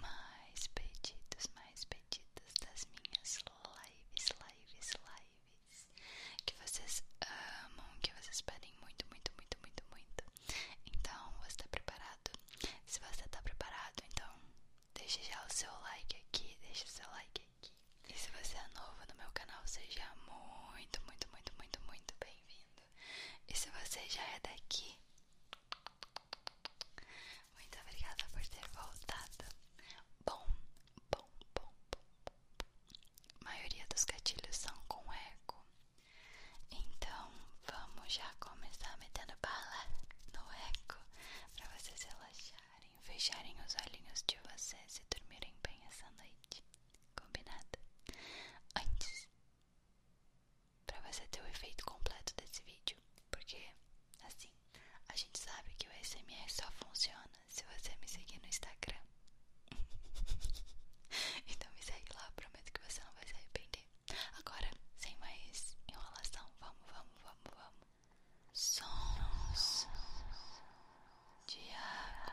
mais pedidos, mais pedidos das minhas lives, lives, lives que vocês amam, que vocês pedem muito, muito, muito, muito, muito. Então, você está preparado? Se você está preparado, então deixe já o seu like aqui, deixe o seu like aqui. E se você é novo no meu canal, seja muito, muito, muito, muito, muito bem-vindo. E se você já é daqui, muito obrigada por ter voltado. Bom, bom, bom, bom. A maioria dos gatilhos são com eco. Então, vamos já começar metendo bala no eco para vocês relaxarem, fecharem os olhinhos de vocês e dormirem bem essa noite. Combinado? Antes para você ter o efeito completo desse vídeo, porque assim, a gente sabe que o SMS só funciona se você me seguir no Instagram. então me segue lá, prometo que você não vai se arrepender. Agora, sem mais enrolação, vamos, vamos, vamos, vamos. Sons de água.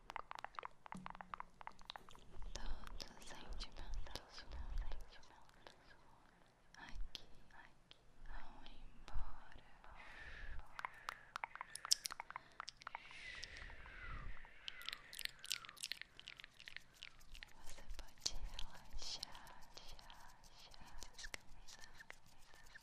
Todos os sentimentos aqui vão embora. Você pode relaxar, relaxar, descansar. Aqui,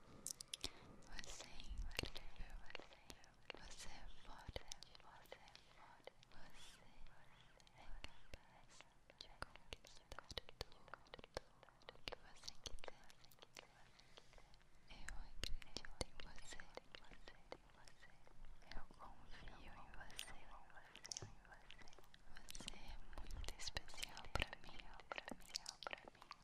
Você é forte você é forte você é forte você é capaz de conquistar tudo o que você quiser. É eu acredito em você, eu confio em você, você é muito especial pra mim, pra mim, pra mim. Eu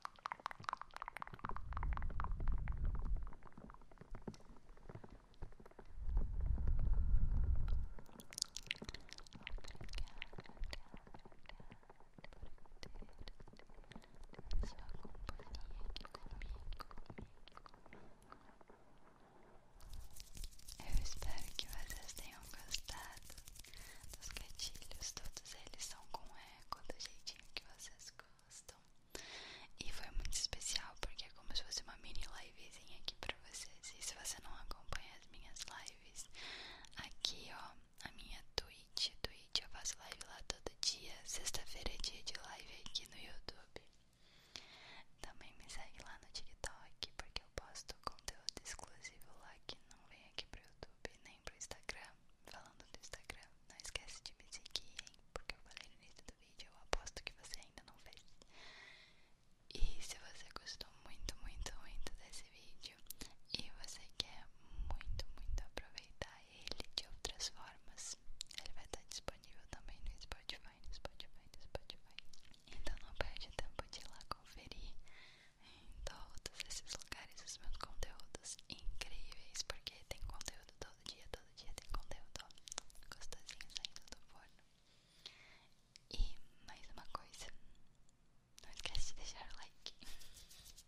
espero que vocês tenham gostado dos gatilhos, todos eles são com eco do jeitinho que vocês gostam. E foi muito especial porque é como se fosse uma mini livezinha aqui pra vocês. E se você não acompanha as minhas lives, aqui ó, a minha Twitch, Twitch eu faço live lá todo dia. Sexta-feira é dia de live aqui no YouTube. Também me segue lá no TikTok porque eu posto conteúdo exclusivo lá que não vem aqui pro YouTube nem pro Instagram falando do Instagram, não esquece de me seguir, Porque eu falei no início do vídeo, eu aposto que você ainda não fez. E se você gostou muito, muito, muito desse vídeo e você quer muito, muito aproveitar ele de outras formas, ele vai estar disponível também no Spotify, Spotify, Spotify. Então não perde tempo de ir lá conferir em todos esses lugares os meus conteúdos incríveis, porque tem conteúdo todo dia, todo dia tem conteúdo gostosinho saindo do forno. E mais uma coisa, não esquece de deixar like.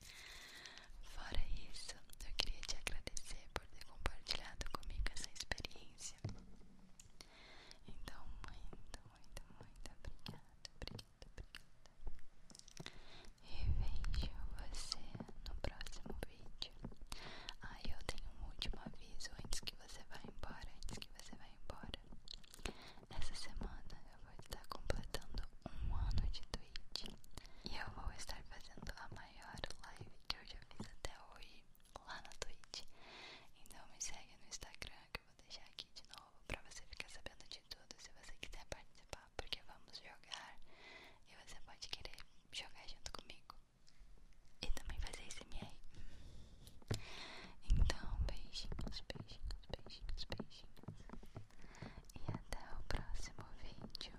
Fora isso, eu queria te agradecer por ter compartilhado comigo essa experiência. Então, muito, muito, muito obrigada, obrigada, obrigada. E você no próximo vídeo. Aí eu tenho um último aviso antes que você vá embora, antes que você vá embora. Essa semana eu vou estar completando um ano de Twitch. E eu vou estar fazendo a maior live que eu já fiz até hoje lá na Twitch. Então me segue no Instagram que eu vou deixar aqui de novo pra você ficar sabendo de tudo. Se você quiser participar, porque vamos jogar e você pode querer jogar junto comigo e também fazer esse MR. Então, beijinhos, beijinhos, beijinhos, beijinhos. E até o próximo vídeo.